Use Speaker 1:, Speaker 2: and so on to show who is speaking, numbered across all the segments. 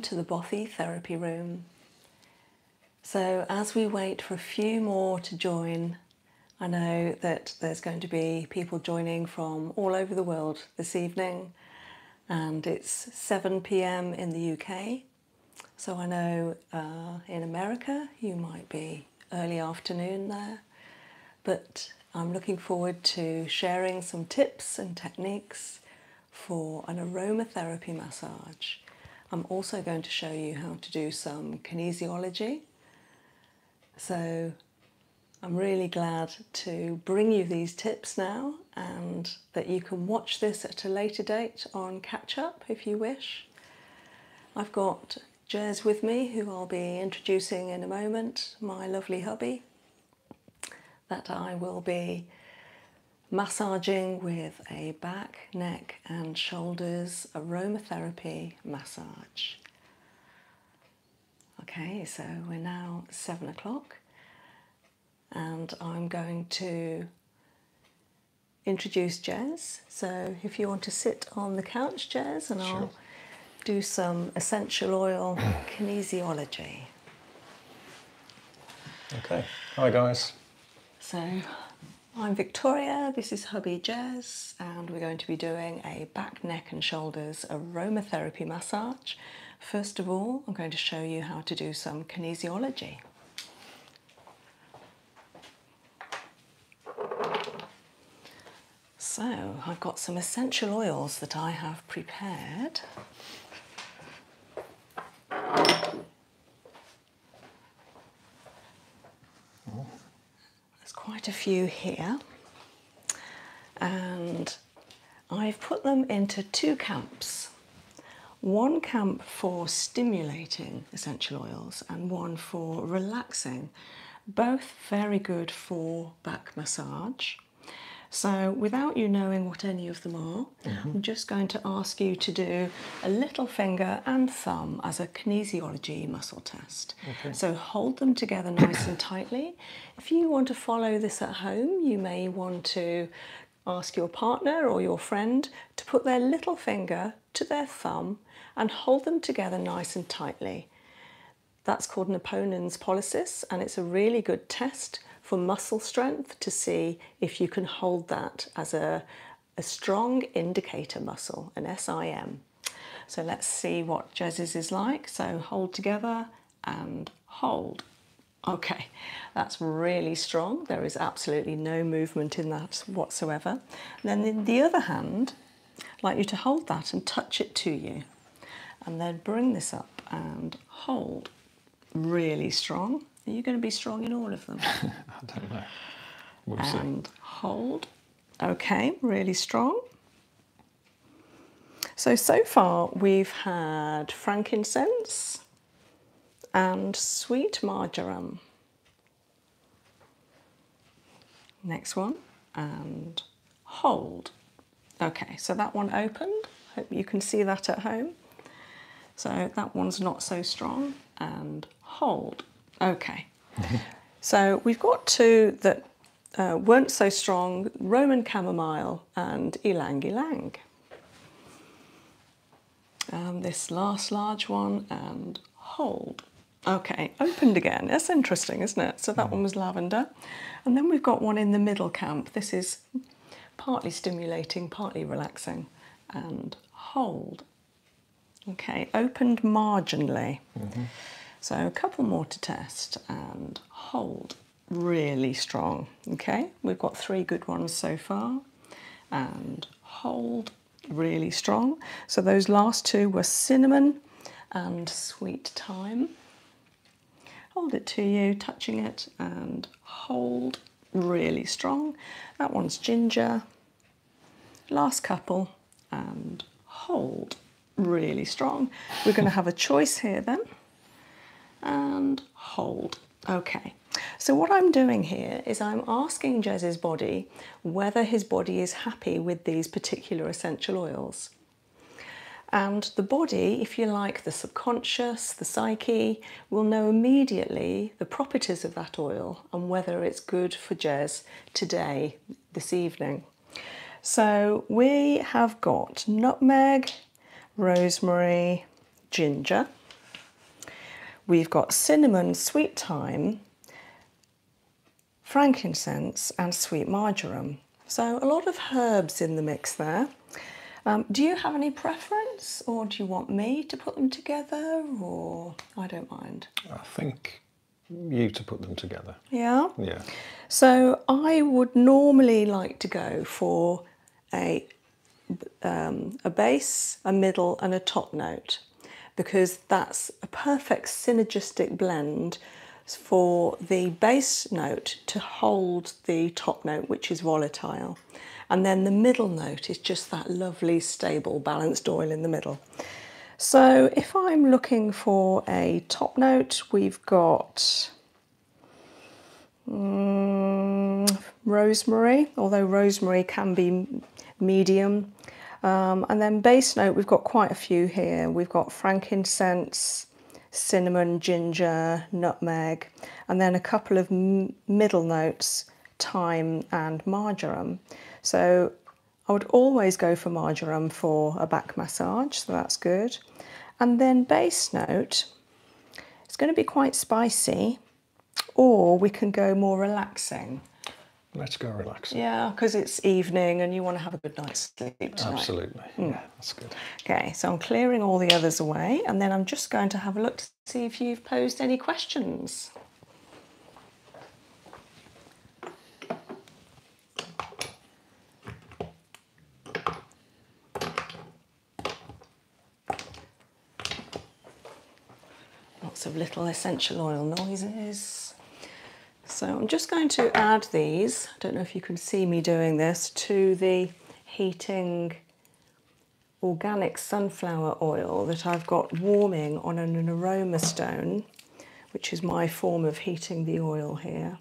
Speaker 1: to the Bothy therapy room. So, as we wait for a few more to join, I know that there's going to be people joining from all over the world this evening, and it's 7 pm in the UK. So, I know uh, in America you might be early afternoon there, but I'm looking forward to sharing some tips and techniques for an aromatherapy massage. I'm also going to show you how to do some kinesiology. So I'm really glad to bring you these tips now and that you can watch this at a later date on catch up if you wish. I've got Jez with me who I'll be introducing in a moment, my lovely hubby that I will be massaging with a back, neck, and shoulders aromatherapy massage. Okay, so we're now seven o'clock, and I'm going to introduce Jez. So, if you want to sit on the couch, Jez, and I'll do some essential oil kinesiology. Okay. Hi, guys. So, I'm Victoria, this is Hubby Jez, and we're going to be doing a back, neck, and shoulders aromatherapy massage. First of all, I'm going to show you how to do some kinesiology. So, I've got some essential oils that I have prepared. There's quite a few here, and I've put them into two camps one camp for stimulating essential oils and one for relaxing. Both very good for back massage. So, without you knowing what any of them are, I'm just going to ask you to do a little finger and thumb as a kinesiology muscle test. So hold them together nice and tightly. If you want to follow this at home, you may want to ask your partner or your friend to put their little finger to their thumb and hold them together nice and tightly. That's called an Napoleon's polycis, and it's a really good test for muscle strength to see if you can hold that as a, strong indicator muscle, an SIM. So let's see what Jez's is like. So hold together and hold. Okay, that's really strong. There is absolutely no movement in that whatsoever. then in the other hand, I'd like you to hold that and touch it to you. And then bring this up and hold really strong. Are you going to be strong in all of them? I don't know. and hold. Okay, really strong. So, so far we've had frankincense and sweet marjoram. Next one and hold. Okay, so that one opened. Hope you can see that at home. So that one's not so strong. And hold. Okay. so we've got two that uh, weren't so strong Roman chamomile and ylang ylang. Um, this last large one and hold. Okay, opened again. That's interesting, isn't it? So that hmm. one was lavender. And then we've got one in the middle camp. This is partly stimulating, partly relaxing, and hold. Okay, opened marginally. Mm-hmm. So a couple more to test and hold really strong. Okay, we've got three good ones so far and hold really strong. So those last two were cinnamon and sweet thyme. Hold it to you, touching it and hold really strong. That one's ginger. Last couple and hold really strong. We're going to have a choice here then and hold. Okay, so what I'm doing here is I'm asking Jez's body whether his body is happy with these particular essential oils. And the body, if you like, the subconscious, the psyche, we'll know immediately the properties of that oil and whether it's good for jazz today, this evening. So we have got nutmeg, rosemary, ginger. We've got cinnamon, sweet thyme, frankincense and sweet marjoram. So a lot of herbs in the mix there. Um, do you have any preference, or do you want me to put them together, or I don't mind? I think you to put them together. Yeah? Yeah. So I would normally like to go for a, um, a bass, a middle, and a top note because that's a perfect synergistic blend for the bass note to hold the top note, which is volatile. And then the middle note is just that lovely, stable, balanced oil in the middle. So if I'm looking for a top note, we've got mm, rosemary, although rosemary can be medium. Um, and then base note, we've got quite a few here. We've got frankincense, cinnamon, ginger, nutmeg, and then a couple of middle notes, thyme and marjoram. So I would always go for marjoram for a back massage, so that's good. And then bass note, it's going to be quite spicy, or we can go more relaxing. Let's go relaxing. Yeah, because it's evening and you want to have a good night's sleep Absolutely. Hmm. Yeah, that's good. Okay, so I'm clearing all the others away and then I'm just going to have a look see if you've posed any questions. Lots of little essential oil noises. So I'm just going to add these, I don't know if you can see me doing this, to the heating organic sunflower oil that I've got warming on an aroma stone, which is my form of heating the oil here.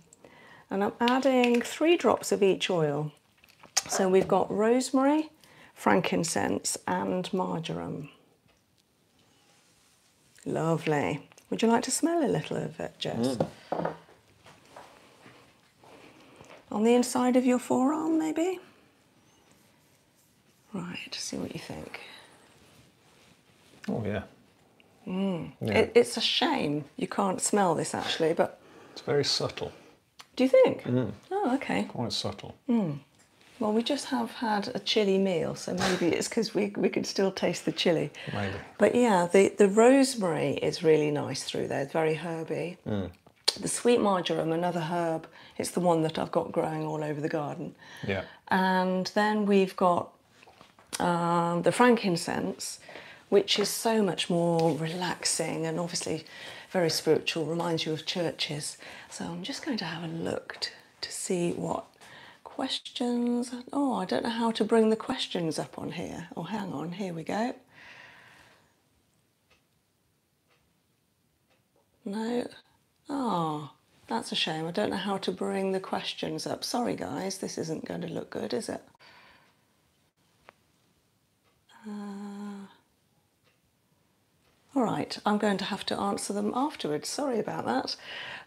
Speaker 1: And I'm adding three drops of each oil. So we've got rosemary, frankincense, and marjoram. Lovely. Would you like to smell a little of it, Jess? Mm. On the inside of your forearm, maybe? Right, see what you think. Oh, yeah. Mm. it's a shame you can't smell this actually, but. It's very subtle. Do you think? Mm. Oh, okay. Quite subtle. Mm. Well, we just have had a chilli meal, so maybe it's because we, we can still taste the chilli. Maybe. But yeah, the, the rosemary is really nice through there. It's very herby the sweet marjoram, another herb, it's the one that I've got growing all over the garden. Yeah. And then we've got um, the frankincense, which is so much more relaxing and obviously very spiritual, reminds you of churches. So I'm just going to have a look to see what questions. Oh, I don't know how to bring the questions up on here. Oh, hang on, here we go. No? Ah, that's a shame. I don't know how to bring the questions up. Sorry, guys, this isn't going to look good, is it? Uh, all right, I'm going to have to answer them afterwards. Sorry about that.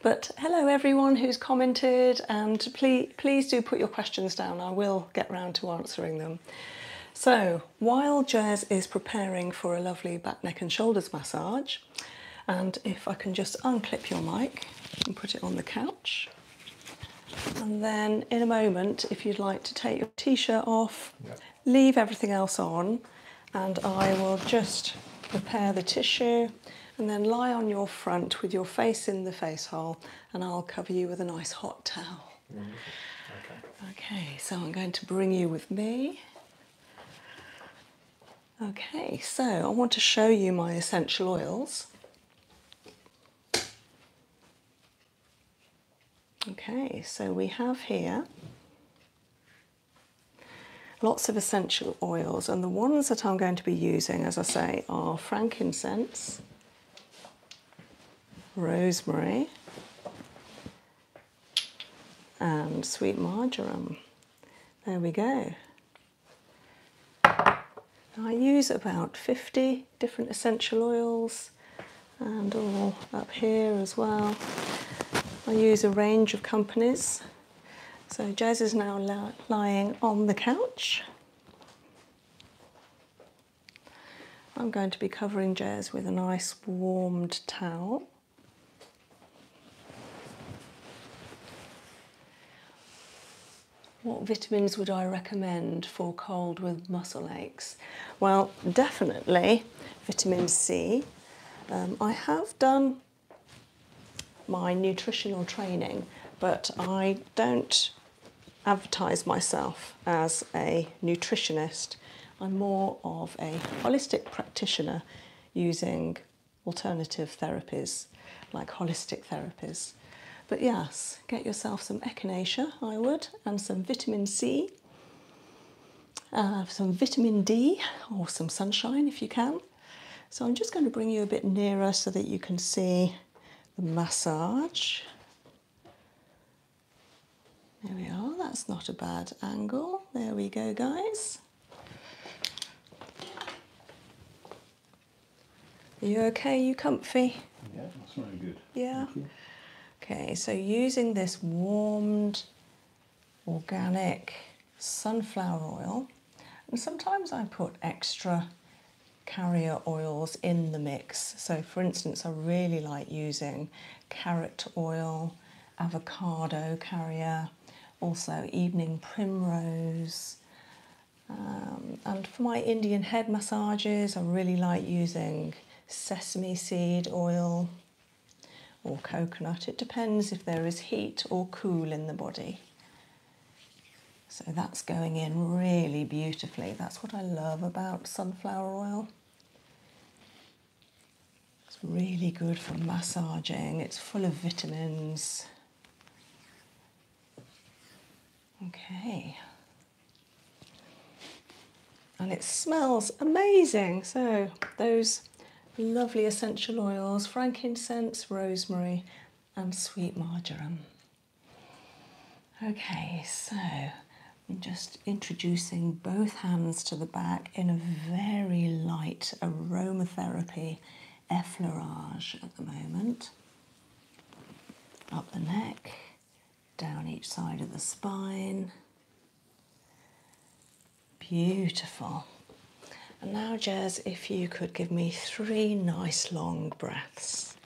Speaker 1: But hello, everyone who's commented, and please, please do put your questions down. I will get round to answering them. So, while Jazz is preparing for a lovely back, neck, and shoulders massage, and if I can just unclip your mic and put it on the couch, and then in a moment, if you'd like to take your t shirt off, leave everything else on, and I will just prepare the tissue and then lie on your front with your face in the face hole, and I'll cover you with a nice hot towel. Mm-hmm. Okay. so I'm going to bring you with me. Okay, so I want to show you my essential oils. Okay, so we have here lots of essential oils, and the ones that I'm going to be using, as I say, are frankincense, rosemary, and sweet marjoram. There we go. I use about 50 different essential oils and all up here as well. I use a range of companies. So Jazz is now lying on the couch. I'm going to be covering Jez with a nice warmed towel. What vitamins would I recommend for cold with muscle aches? Well, definitely vitamin C. Um, I have done my nutritional training, but I don't advertise myself as a nutritionist. I'm more of a holistic practitioner using alternative therapies like holistic therapies. But yes, get yourself some echinacea, I would, and some vitamin C, uh, some vitamin D, or some sunshine if you can. So I'm just going to bring you a bit nearer so that you can see the massage there we are, that's not a bad angle. There we go, guys. Are you okay? You comfy? Yeah, that's very good. Yeah. Okay, so using this warmed organic sunflower oil, and sometimes I put extra carrier oils in the mix. So, for instance, I really like using carrot oil, avocado carrier, also evening primrose. Um, and for my Indian head massages, I really like using sesame seed oil or coconut. It depends if there is heat or cool in the body. So that's going in really beautifully. That's what I love about sunflower oil. It's really good for massaging, it's full of vitamins. Okay. And it smells amazing. So, those lovely essential oils frankincense, rosemary, and sweet marjoram. Okay, so just introducing both hands to the back in a very light aromatherapy effleurage at the moment. Up the neck, down each side of the spine. Beautiful. And now, Jez, if you could give me three nice long breaths.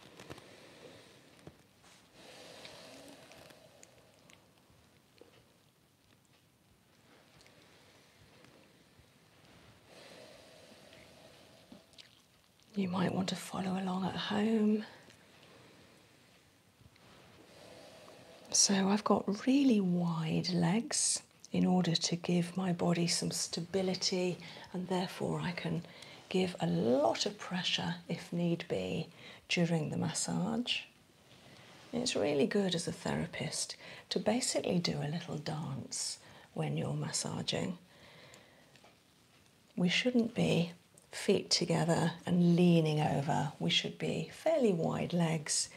Speaker 1: You might want to follow along at home. So I've got really wide legs in order to give my body some stability and therefore I can give a lot of pressure if need be during the massage. It's really good as a therapist to basically do a little dance when you're massaging. We shouldn't be feet together and leaning over, we should be fairly wide legs,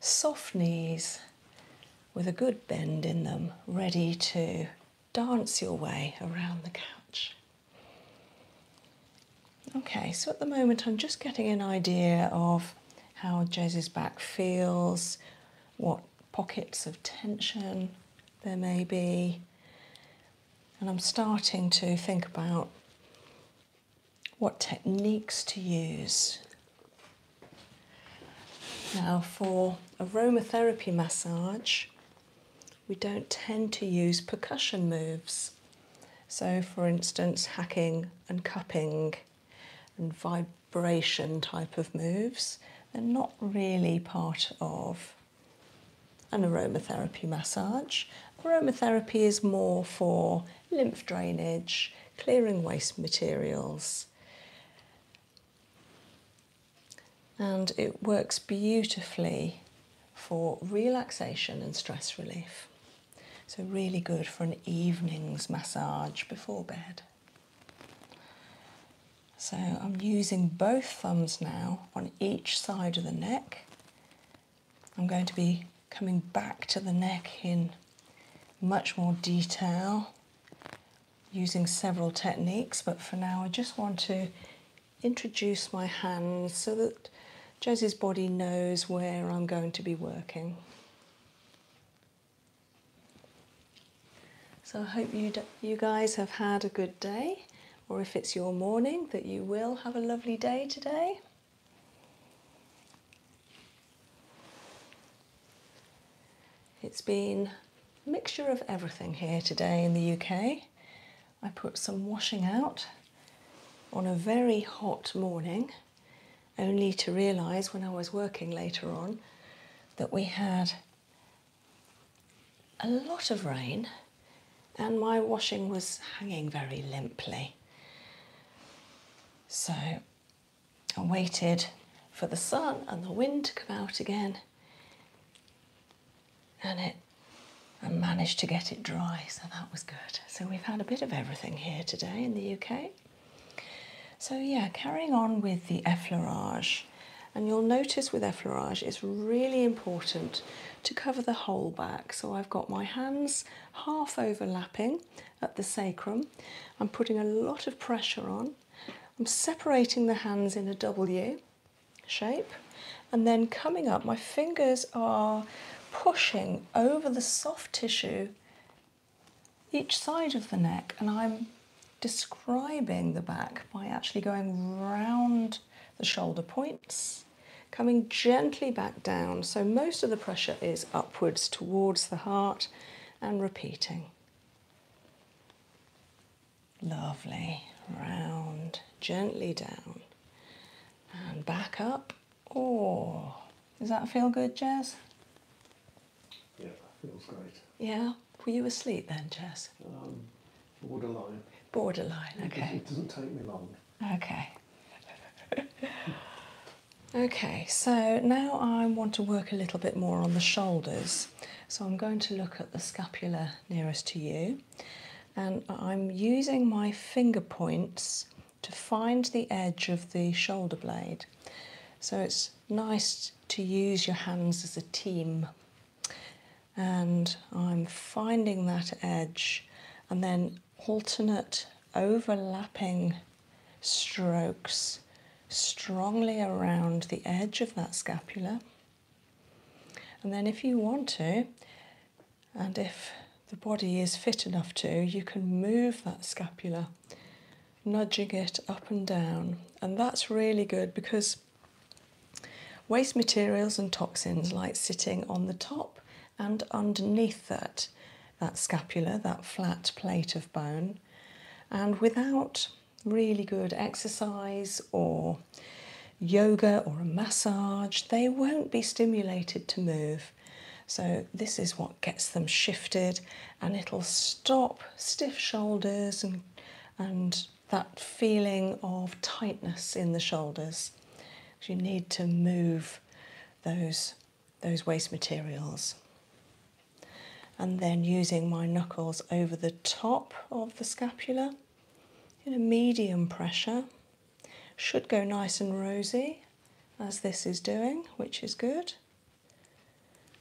Speaker 1: soft knees with a good bend in them, ready to dance your way around the couch. Okay, so at the moment I'm just getting an idea of how Jez's back feels, what pockets of tension there may be, and I'm starting to think about what techniques to use. Now, for aromatherapy massage, we don't tend to use percussion moves. So, for instance, hacking and cupping and vibration type of moves, they're not really part of an aromatherapy massage. Aromatherapy is more for lymph drainage, clearing waste materials and it works beautifully for relaxation and stress relief. So, really good for an evening's massage before bed. So, I'm using both thumbs now on each side of the neck. I'm going to be coming back to the neck in much more detail using several techniques, but for now, I just want to introduce my hands so that Josie's body knows where I'm going to be working. So I hope you, you guys have had a good day, or if it's your morning, that you will have a lovely day today. It's been a mixture of everything here today in the UK. I put some washing out on a very hot morning, only to realise when I was working later on that we had a lot of rain and my washing was hanging very limply. So I waited for the sun and the wind to come out again and it and managed to get it dry, so that was good. So we've had a bit of everything here today in the UK. So yeah, carrying on with the effleurage, and you'll notice with effleurage it's really important to cover the whole back. So I've got my hands half overlapping at the sacrum. I'm putting a lot of pressure on. I'm separating the hands in a W shape and then coming up my fingers are pushing over the soft tissue each side of the neck and I'm describing the back by actually going round the shoulder points coming gently back down so most of the pressure is upwards towards the heart and repeating lovely round gently down and back up. Oh, does that feel good, Jess? Yeah, feels great. Yeah? Were you asleep then, Jess? Um, borderline. Borderline, okay. It doesn't take me long. Okay. okay, so now I want to work a little bit more on the shoulders. So I'm going to look at the scapula nearest to you and I'm using my finger points to find the edge of the shoulder blade. So it's nice to use your hands as a team. And I'm finding that edge and then alternate overlapping strokes strongly around the edge of that scapula and then, if you want to, and if the body is fit enough to, you can move that scapula, nudging it up and down. And that's really good because waste materials and toxins like sitting on the top and underneath that, that scapula, that flat plate of bone. And without really good exercise or yoga or a massage, they won't be stimulated to move. So, this is what gets them shifted and it'll stop stiff shoulders and, and that feeling of tightness in the shoulders. You need to move those, those waste materials. And then using my knuckles over the top of the scapula in a medium pressure. Should go nice and rosy as this is doing, which is good.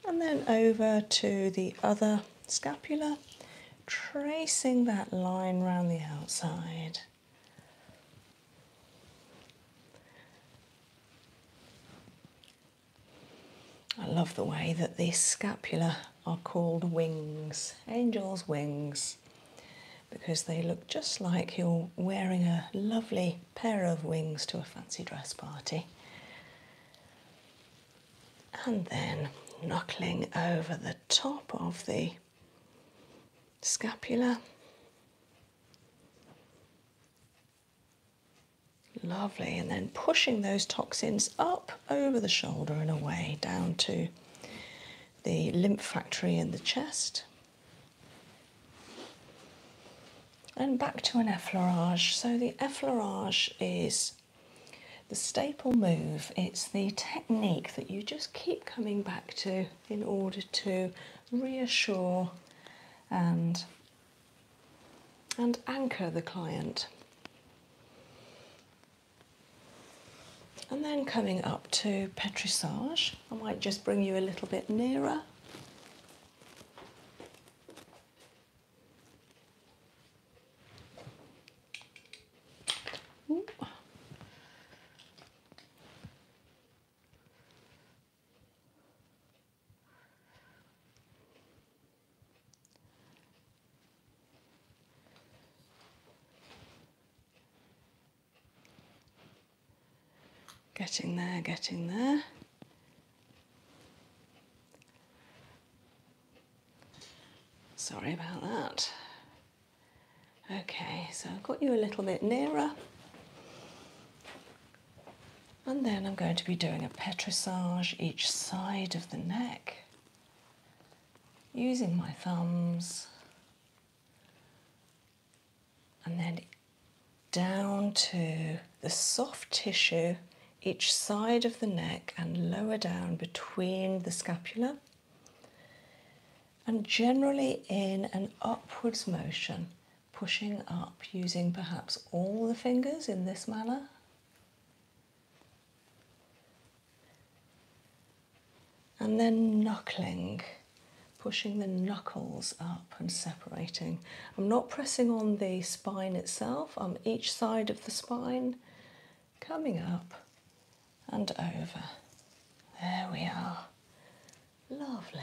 Speaker 1: And then over to the other scapula, tracing that line round the outside. I love the way that these scapula are called wings, angel's wings because they look just like you're wearing a lovely pair of wings to a fancy dress party. And then knuckling over the top of the scapula. Lovely, and then pushing those toxins up over the shoulder and away down to the lymph factory in the chest. And back to an effleurage. So, the effleurage is the staple move, it's the technique that you just keep coming back to in order to reassure and, and anchor the client. And then coming up to Petrissage, I might just bring you a little bit nearer. Getting there, getting there. Sorry about that. Okay, so I've got you a little bit nearer. And then I'm going to be doing a petrissage each side of the neck using my thumbs and then down to the soft tissue each side of the neck and lower down between the scapula, and generally in an upwards motion, pushing up using perhaps all the fingers in this manner and then knuckling, pushing the knuckles up and separating. I'm not pressing on the spine itself, I'm each side of the spine coming up and over. There we are. Lovely.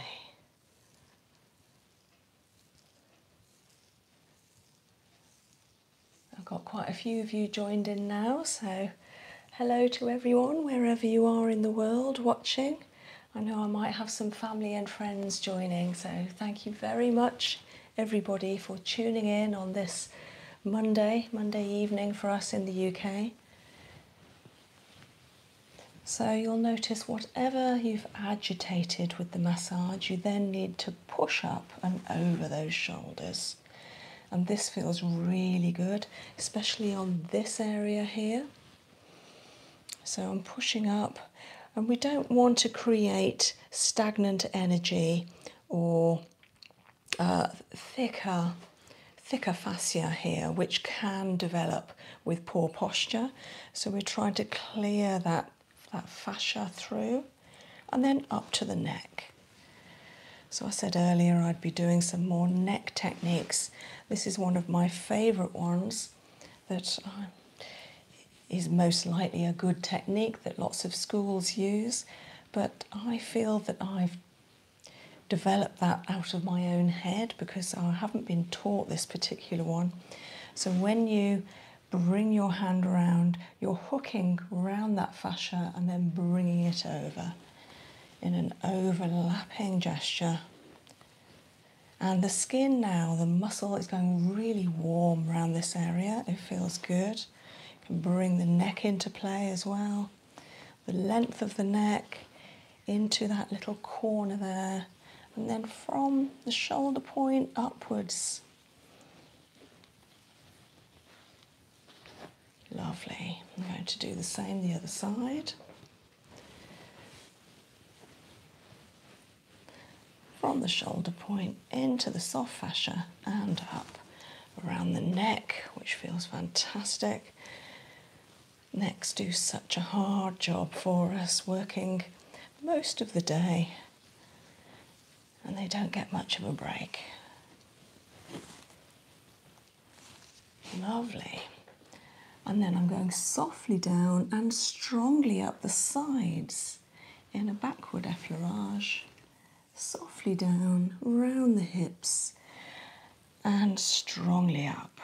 Speaker 1: I've got quite a few of you joined in now, so hello to everyone, wherever you are in the world watching. I know I might have some family and friends joining, so thank you very much, everybody, for tuning in on this Monday, Monday evening for us in the UK. So, you'll notice whatever you've agitated with the massage, you then need to push up and over those shoulders and this feels really good, especially on this area here. So I'm pushing up, and we don't want to create stagnant energy or uh, thicker, thicker fascia here, which can develop with poor posture. So we're trying to clear that, that fascia through and then up to the neck. So, I said earlier I'd be doing some more neck techniques. This is one of my favourite ones that um, is most likely a good technique that lots of schools use, but I feel that I've developed that out of my own head because I haven't been taught this particular one. So, when you bring your hand around, you're hooking round that fascia and then bringing it over in an overlapping gesture. And the skin now, the muscle is going really warm around this area. It feels good. can bring the neck into play as well. The length of the neck into that little corner there. And then from the shoulder point upwards. Lovely. I'm going to do the same the other side. From the shoulder point into the soft fascia and up around the neck, which feels fantastic. Necks do such a hard job for us, working most of the day, and they don't get much of a break. Lovely. And then I'm going softly down and strongly up the sides in a backward effleurage. Softly down, round the hips, and strongly up.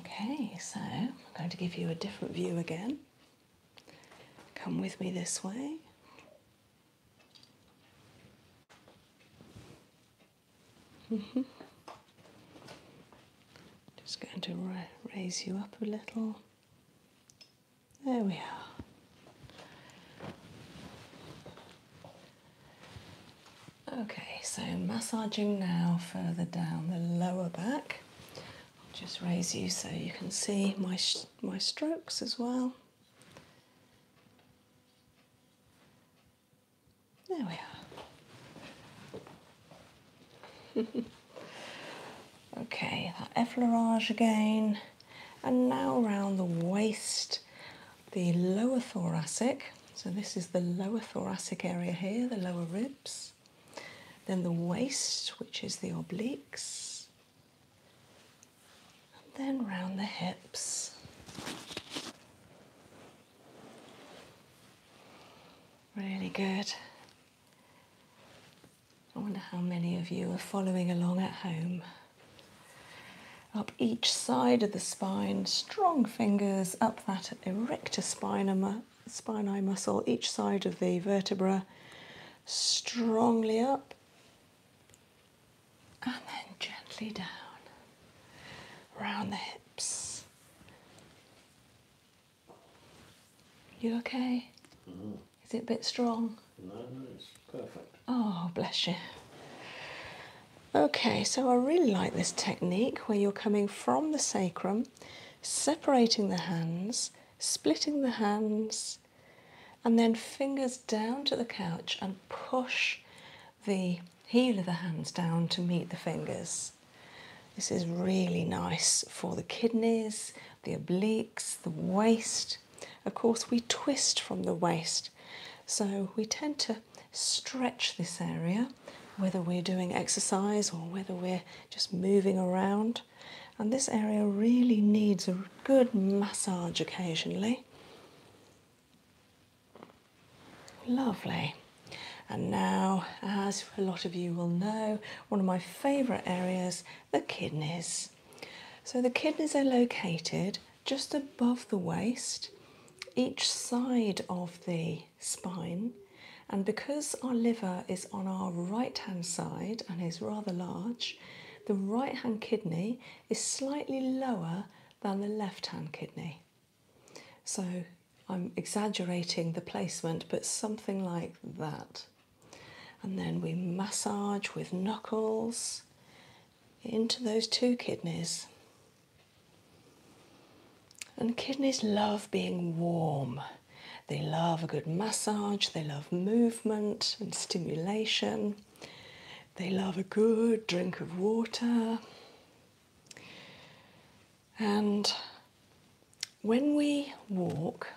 Speaker 1: Okay, so I'm going to give you a different view again. Come with me this way. Mm -hmm. Just going to raise you up a little. There we are. Okay, so massaging now further down the lower back. just raise you so you can see my my strokes as well. There we are. okay, that effleurage again. And now around the waist, the lower thoracic. So this is the lower thoracic area here, the lower ribs. Then the waist, which is the obliques and then round the hips. Really good. I wonder how many of you are following along at home. Up each side of the spine, strong fingers up that erector spinae, spinae muscle, each side of the vertebra, strongly up and then gently down round the hips. You okay? Mm-hmm. Is it a bit strong? no, it's perfect. Oh, bless you. Okay, so I really like this technique where you're coming from the sacrum, separating the hands, splitting the hands, and then fingers down to the couch and push the heel of the hands down to meet the fingers. This is really nice for the kidneys, the obliques, the waist. Of course, we twist from the waist, so we tend to stretch this area whether we're doing exercise or whether we're just moving around and this area really needs a good massage occasionally. Lovely. And now, as a lot of you will know, one of my favourite areas, the kidneys. So the kidneys are located just above the waist, each side of the spine. And because our liver is on our right hand side and is rather large, the right hand kidney is slightly lower than the left hand kidney. So I'm exaggerating the placement, but something like that. And then we massage with knuckles into those two kidneys. And kidneys love being warm. They love a good massage, they love movement and stimulation. They love a good drink of water. And when we walk,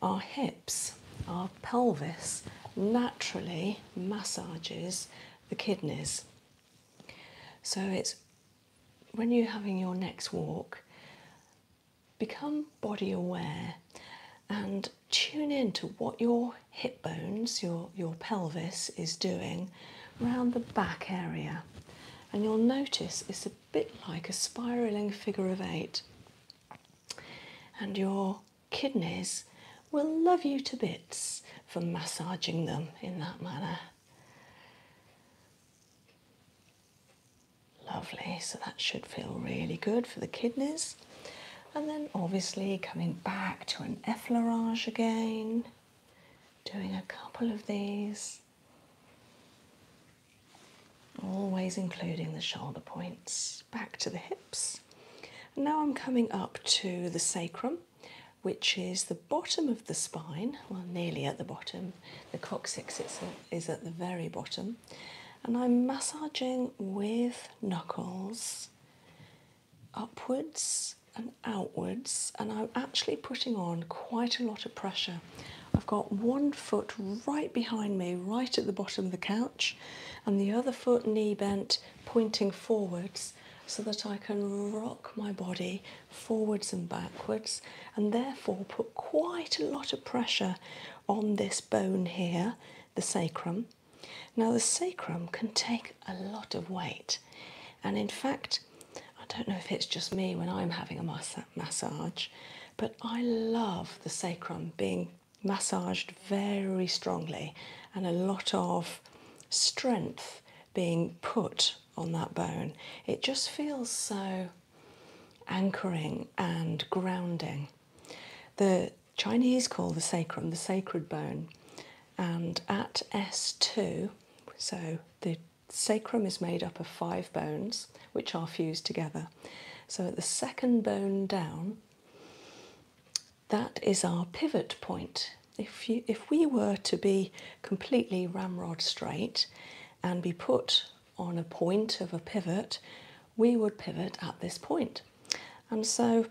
Speaker 1: our hips, our pelvis naturally massages the kidneys. So it's when you're having your next walk, become body aware and tune in to what your hip bones, your, your pelvis, is doing around the back area. And you'll notice it's a bit like a spiraling figure of eight. And your kidneys will love you to bits for massaging them in that manner. Lovely, so that should feel really good for the kidneys. And then obviously coming back to an effleurage again, doing a couple of these, always including the shoulder points, back to the hips. now I'm coming up to the sacrum, which is the bottom of the spine, well, nearly at the bottom. The coccyx is at the very bottom and I'm massaging with knuckles upwards and outwards, and I'm actually putting on quite a lot of pressure. I've got one foot right behind me, right at the bottom of the couch, and the other foot knee bent, pointing forwards so that I can rock my body forwards and backwards and therefore put quite a lot of pressure on this bone here, the sacrum. Now, the sacrum can take a lot of weight, and in fact, I don't know if it's just me when I'm having a mass massage, but I love the sacrum being massaged very strongly and a lot of strength being put on that bone. It just feels so anchoring and grounding. The Chinese call the sacrum the sacred bone, and at S2, so the sacrum is made up of five bones which are fused together. So at the second bone down, that is our pivot point. If, you, if we were to be completely ramrod straight and be put on a point of a pivot, we would pivot at this point and so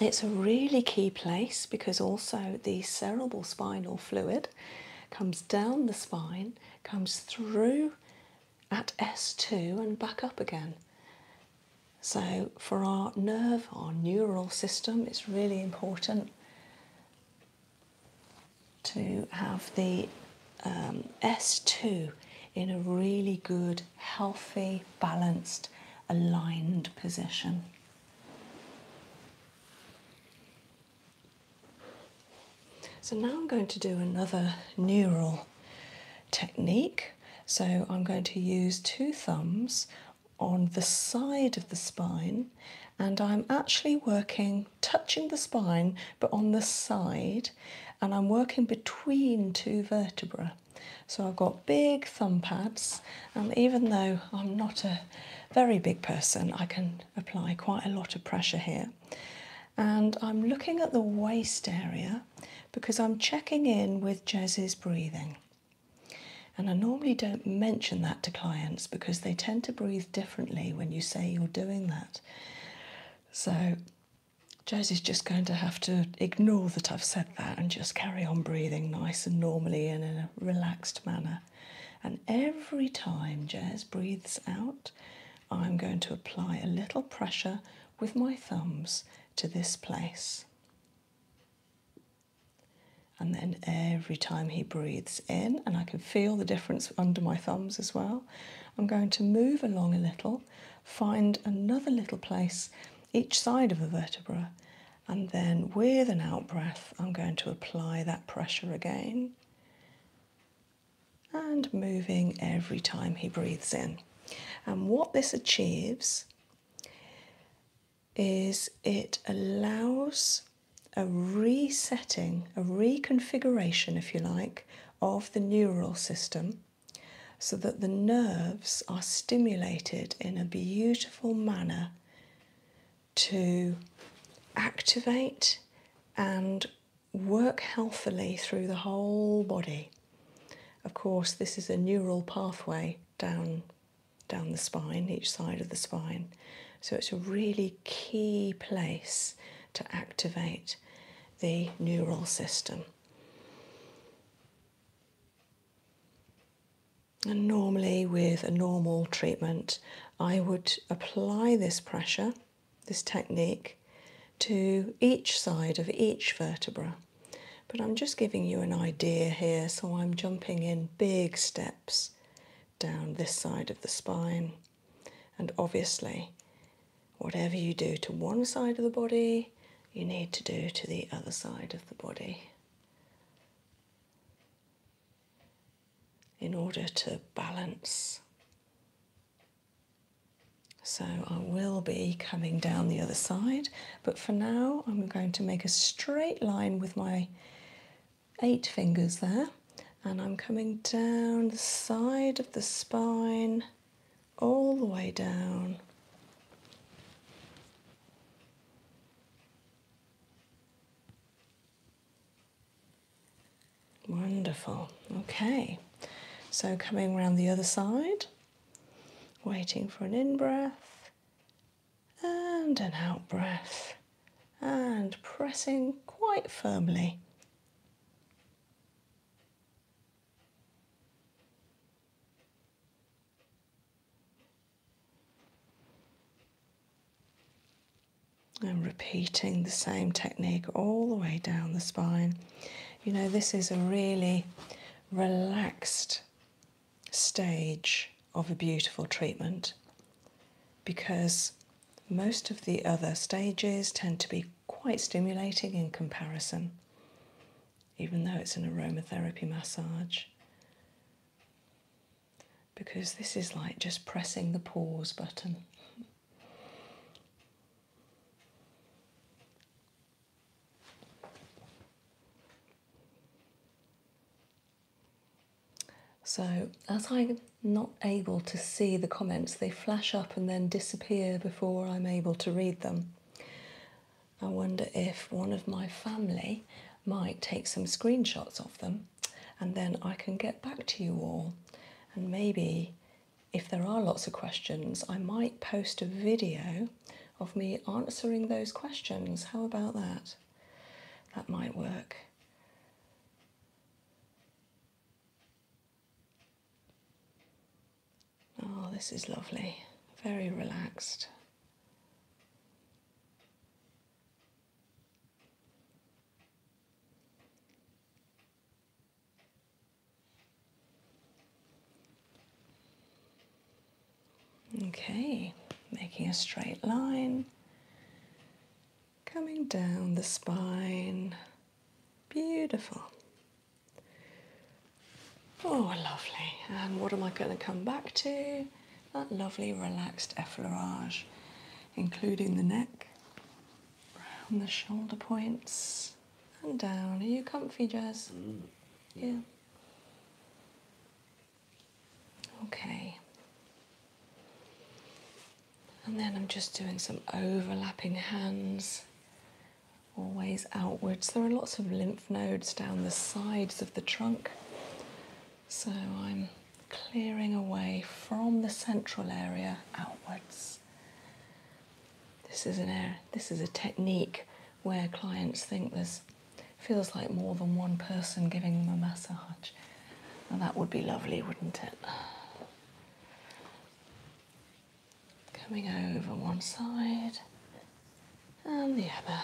Speaker 1: it's a really key place because also the cerebral spinal fluid comes down the spine, comes through at S2 and back up again. So, for our nerve, our neural system, it's really important to have the um, S2 in a really good, healthy, balanced, aligned position. So now I'm going to do another neural technique. So I'm going to use two thumbs on the side of the spine and I'm actually working touching the spine but on the side and I'm working between two vertebrae. So I've got big thumb pads, and even though I'm not a very big person, I can apply quite a lot of pressure here. And I'm looking at the waist area because I'm checking in with Jez's breathing. And I normally don't mention that to clients because they tend to breathe differently when you say you're doing that. So Josie's just going to have to ignore that I've said that and just carry on breathing nice and normally and in a relaxed manner. And every time Jez breathes out, I'm going to apply a little pressure with my thumbs to this place. And then every time he breathes in, and I can feel the difference under my thumbs as well, I'm going to move along a little find another little place each side of the vertebra, and then with an out breath, I'm going to apply that pressure again and moving every time he breathes in. And what this achieves is it allows a resetting, a reconfiguration, if you like, of the neural system so that the nerves are stimulated in a beautiful manner to activate and work healthily through the whole body. Of course, this is a neural pathway down down the spine, each side of the spine. So it's a really key place to activate the neural system. And normally, with a normal treatment, I would apply this pressure, this technique, to each side of each vertebra. But I'm just giving you an idea here, so I'm jumping in big steps down this side of the spine. And obviously, whatever you do to one side of the body, you need to do to the other side of the body in order to balance. So I will be coming down the other side, but for now I'm going to make a straight line with my eight fingers there and I'm coming down the side of the spine all the way down. Wonderful. Okay, so coming around the other side, waiting for an in breath and an out breath, and pressing quite firmly. And repeating the same technique all the way down the spine. You know, this is a really relaxed stage of a beautiful treatment because most of the other stages tend to be quite stimulating in comparison even though it's an aromatherapy massage. Because this is like just pressing the pause button. So, as I'm not able to see the comments, they flash up and then disappear before I'm able to read them. I wonder if one of my family might take some screenshots of them and then I can get back to you all. And maybe if there are lots of questions, I might post a video of me answering those questions. How about that? That might work. Oh, this is lovely, very relaxed. Okay, making a straight line, coming down the spine. Beautiful. Oh, lovely. And what am I going to come back to? That lovely relaxed effleurage, including the neck, around the shoulder points, and down. Are you comfy, Jazz? Mm, yeah. Okay. And then I'm just doing some overlapping hands always outwards. There are lots of lymph nodes down the sides of the trunk, so I'm clearing away from the central area outwards. This is an air, this is a technique where clients think there's feels like more than one person giving them a massage. Now that would be lovely, wouldn't it? coming over one side and the other,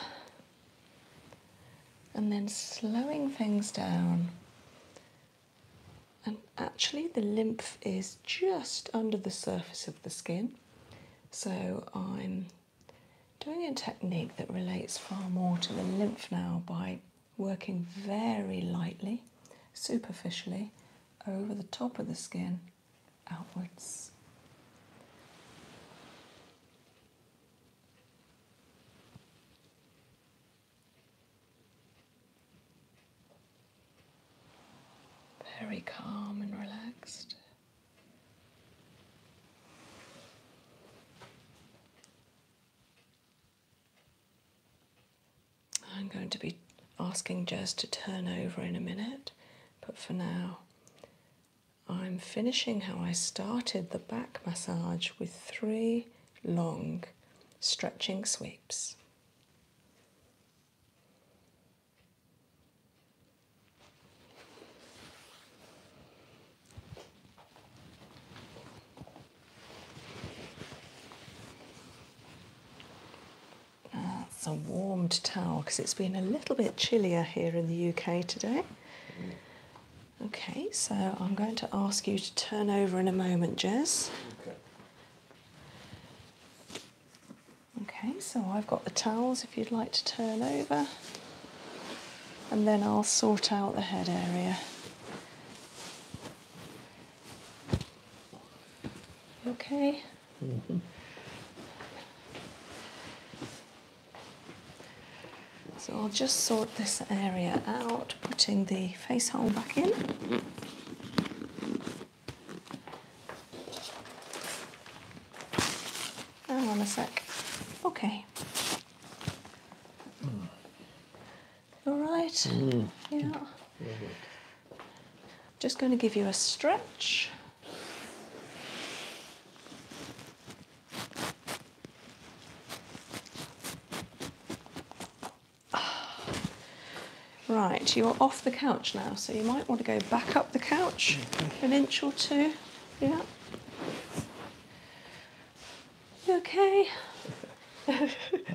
Speaker 1: and then slowing things down. And actually, the lymph is just under the surface of the skin, so I'm doing a technique that relates far more to the lymph now by working very lightly, superficially, over the top of the skin outwards. Very calm and relaxed. I'm going to be asking Jess to turn over in a minute, but for now, I'm finishing how I started the back massage with three long stretching sweeps. It's a warmed towel because it's been a little bit chillier here in the UK today. Okay, so I'm going to ask you to turn over in a moment, Jez. Okay. Okay, so I've got the towels if you'd like to turn over, and then I'll sort out the head area. okay? Mm-hmm. So I'll just sort this area out, putting the face hole back in. Hang on a sec. Okay. Mm. All right. Mm. Yeah. Just going to give you a stretch. Right, you're off the couch now, so you might want to go back up the couch an inch or two. Yeah. okay? that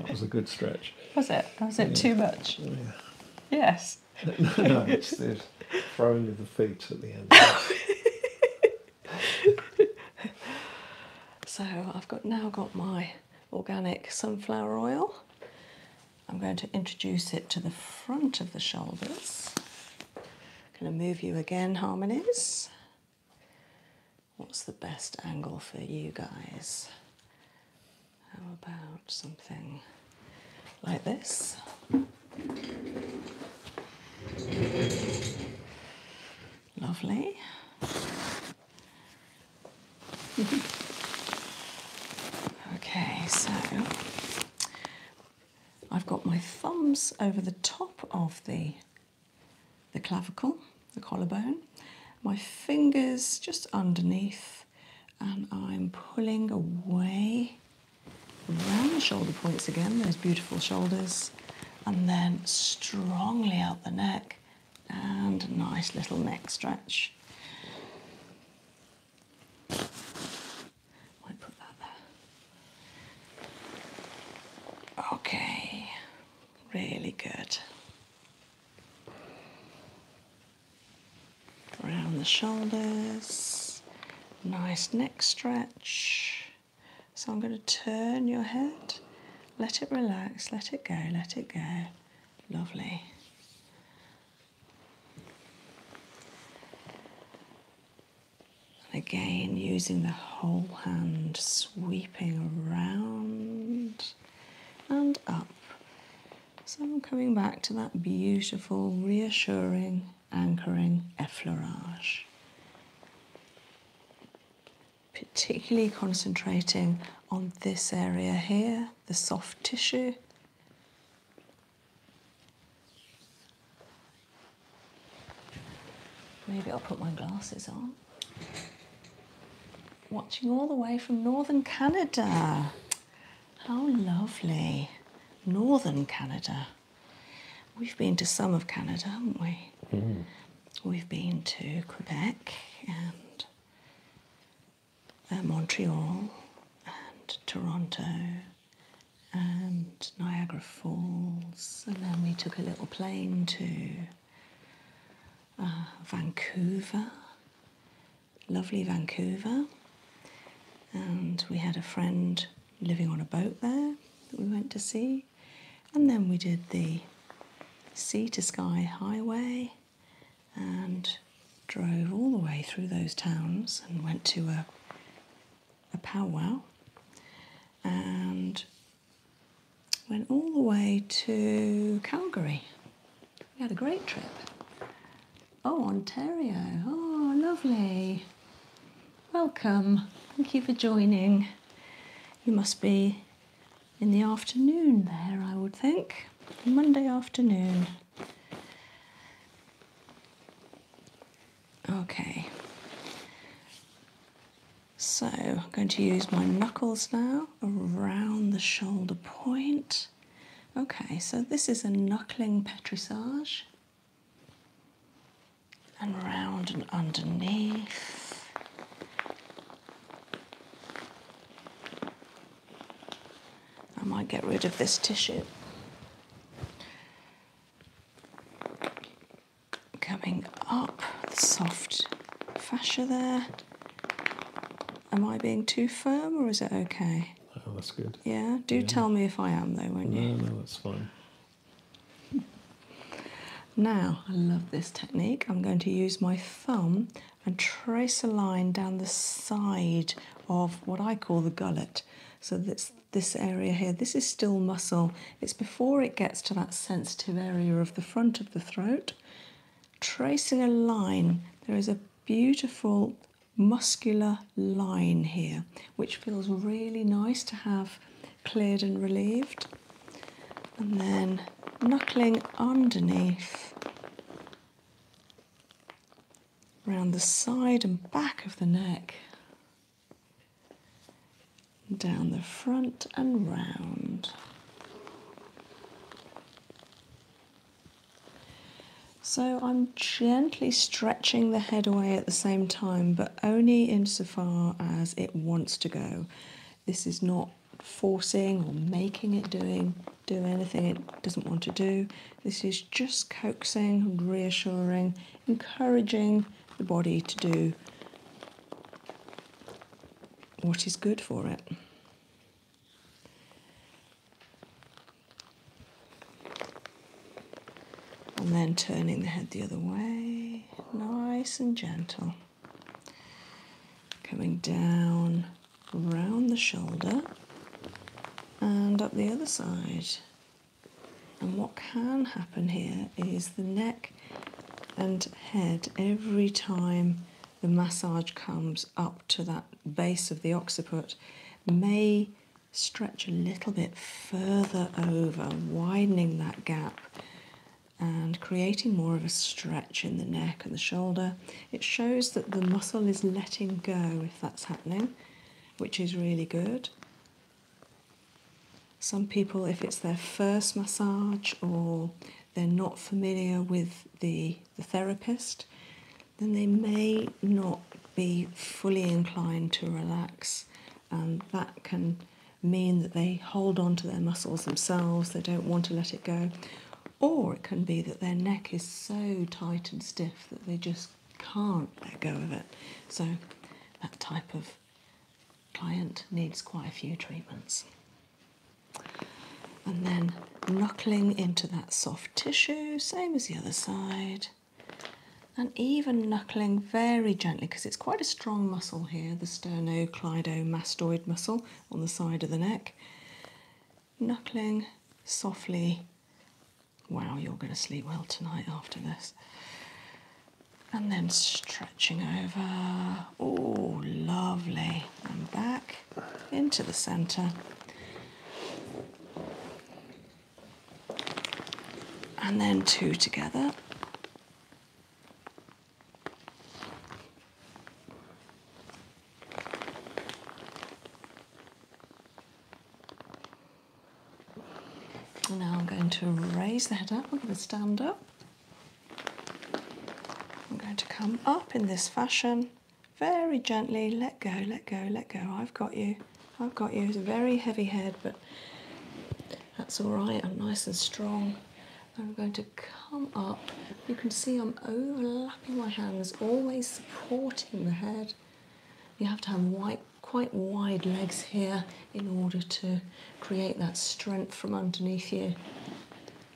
Speaker 1: was a good stretch. Was it? Was it too much? Yes no, no, it's the throwing of the feet at the end. so I've got now got my organic sunflower oil. I'm going to introduce it to the front of the shoulders. Going to move you again, harmonies. What's the best angle for you guys? How about something like this? Lovely. okay, so I've got my thumbs over the top of the the clavicle, the collarbone, my fingers just underneath and I'm pulling away around the shoulder points again, those beautiful shoulders, and then strongly out the neck and a nice little neck stretch. Okay, really good around the shoulders, nice neck stretch. So I'm going to turn your head, let it relax, let it go, let it go. Lovely. And again, using the whole hand, sweeping around and up so I'm coming back to that beautiful, reassuring, anchoring effleurage. Particularly concentrating on this area here, the soft tissue. Maybe I'll put my glasses on. Watching all the way from northern Canada. How lovely. Northern Canada. We've been to some of Canada, haven't we? Mm. We've been to Quebec and uh, Montreal and Toronto and Niagara Falls, and then we took a little plane to uh, Vancouver lovely Vancouver, and we had a friend living on a boat there that we went to see, and then we did the sea to sky highway and drove all the way through those towns and went to a, a powwow and went all the way to Calgary. We had a great trip. Oh, Ontario. Oh, lovely. Welcome. Thank you for joining. You must be in the afternoon there, I would think. Monday afternoon. Okay. So I'm going to use my knuckles now around the shoulder point. Okay, so this is a knuckling petrissage. And round and underneath. I might get rid of this tissue. Coming up, the soft fascia there. Am I being too firm or is it okay? Oh, that's good. Yeah. Do tell me if I am, though, won't you? No, no, that's fine. Now, I love this technique. I'm going to use my thumb and trace a line down the side of what I call the gullet. So that's this area here. This is still muscle. It's before it gets to that sensitive area of the front of the throat. Tracing a line, there is a beautiful muscular line here, which feels really nice to have cleared and relieved. And then knuckling underneath around the side and back of the neck, down the front and round. So I'm gently stretching the head away at the same time, but only insofar as it wants to go. This is not forcing or making it doing do anything it doesn't want to do. This is just coaxing, reassuring, encouraging the body to do what is good for it. And then turning the head the other way, nice and gentle. Coming down round the shoulder and up the other side. And what can happen here is the neck and head, every time the massage comes up to that base of the occiput may stretch a little bit further over, widening that gap and creating more of a stretch in the neck and the shoulder. It shows that the muscle is letting go if that's happening, which is really good. Some people, if it's their first massage or they're not familiar with the, the therapist, then they may not be fully inclined to relax, and um, that can mean that they hold on to their muscles themselves, they don't want to let it go, or it can be that their neck is so tight and stiff that they just can't let go of it. So, that type of client needs quite a few treatments. And then knuckling into that soft tissue, same as the other side, and even knuckling very gently because it's quite a strong muscle here the sternocleidomastoid muscle on the side of the neck. Knuckling softly. Wow, you're going to sleep well tonight after this. And then stretching over. Oh, lovely. And back into the centre and then two together. Now I'm going to raise the head up, I'm going to stand up. I'm going to come up in this fashion very gently let go, let go, let go. I've got you, I've got you. It's a very heavy head, but that's all right. I'm nice and strong. I'm going to come up. You can see I'm overlapping my hands, always supporting the head. You have to have wide, quite wide legs here in order to create that strength from underneath you.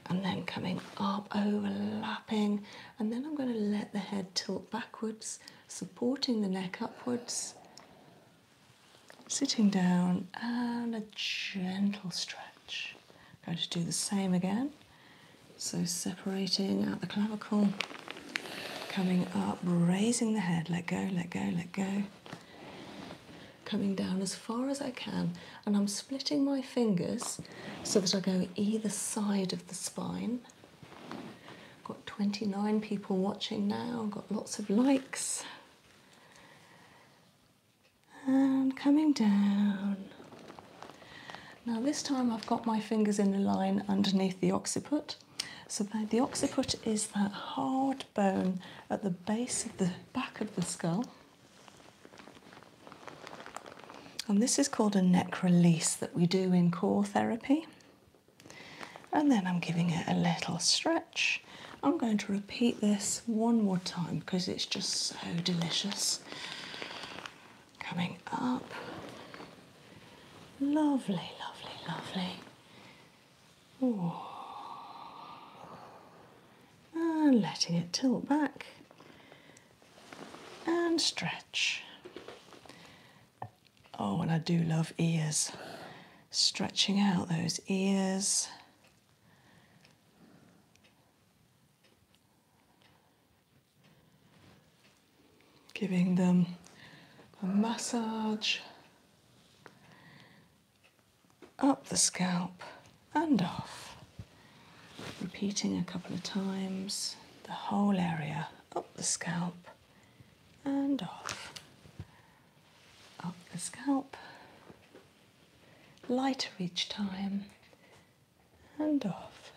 Speaker 1: And then coming up, overlapping, and then I'm going to let the head tilt backwards, supporting the neck upwards, sitting down, and a gentle stretch. going to do the same again. So, separating at the clavicle, coming up, raising the head, let go, let go, let go. Coming down as far as I can, and I'm splitting my fingers so that I go either side of the spine Got 29 people watching now, got lots of likes. And coming down. Now, this time I've got my fingers in the line underneath the occiput. So, the occiput is that hard bone at the base of the back of the skull. And this is called a neck release that we do in core therapy. And then I'm giving it a little stretch. I'm going to repeat this one more time because it's just so delicious. Coming up. Lovely, lovely, lovely. Ooh. And letting it tilt back and stretch. Oh, and I do love ears. Stretching out those ears. Giving them a massage up the scalp and off. Repeating a couple of times the whole area oh, the scalp and off. Up the scalp, lighter each time, and off.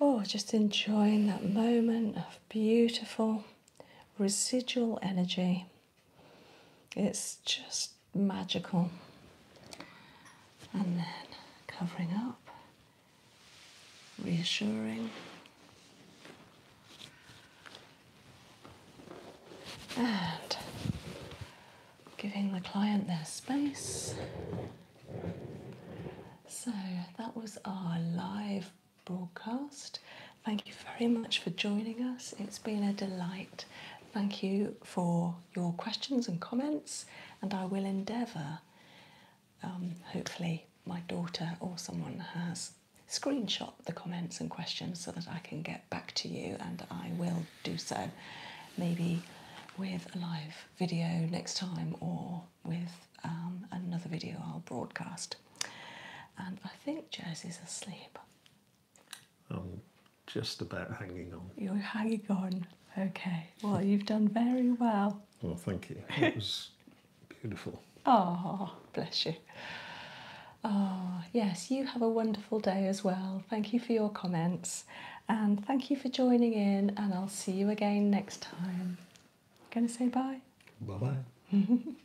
Speaker 1: Oh, just enjoying that moment of beautiful residual energy. It's just magical. And then covering up reassuring. And giving the client their space. So that was our live broadcast. Thank you very much for joining us. It's been a delight. Thank you for your questions and comments, and I will endeavour um, hopefully, my daughter or someone has screenshot the comments and questions so that I can get back to you, and I will do so maybe with a live video next time or with um, another video I'll broadcast. And I think Jersey's asleep. I'm just about hanging on. You're hanging on. Okay. Well, you've done very well. Well, thank you. It was beautiful. Oh, bless you. Ah, yes, you have a wonderful day as well. Thank you for your comments and thank you for joining in and I'll see you again next time. Going to say bye. Bye-bye.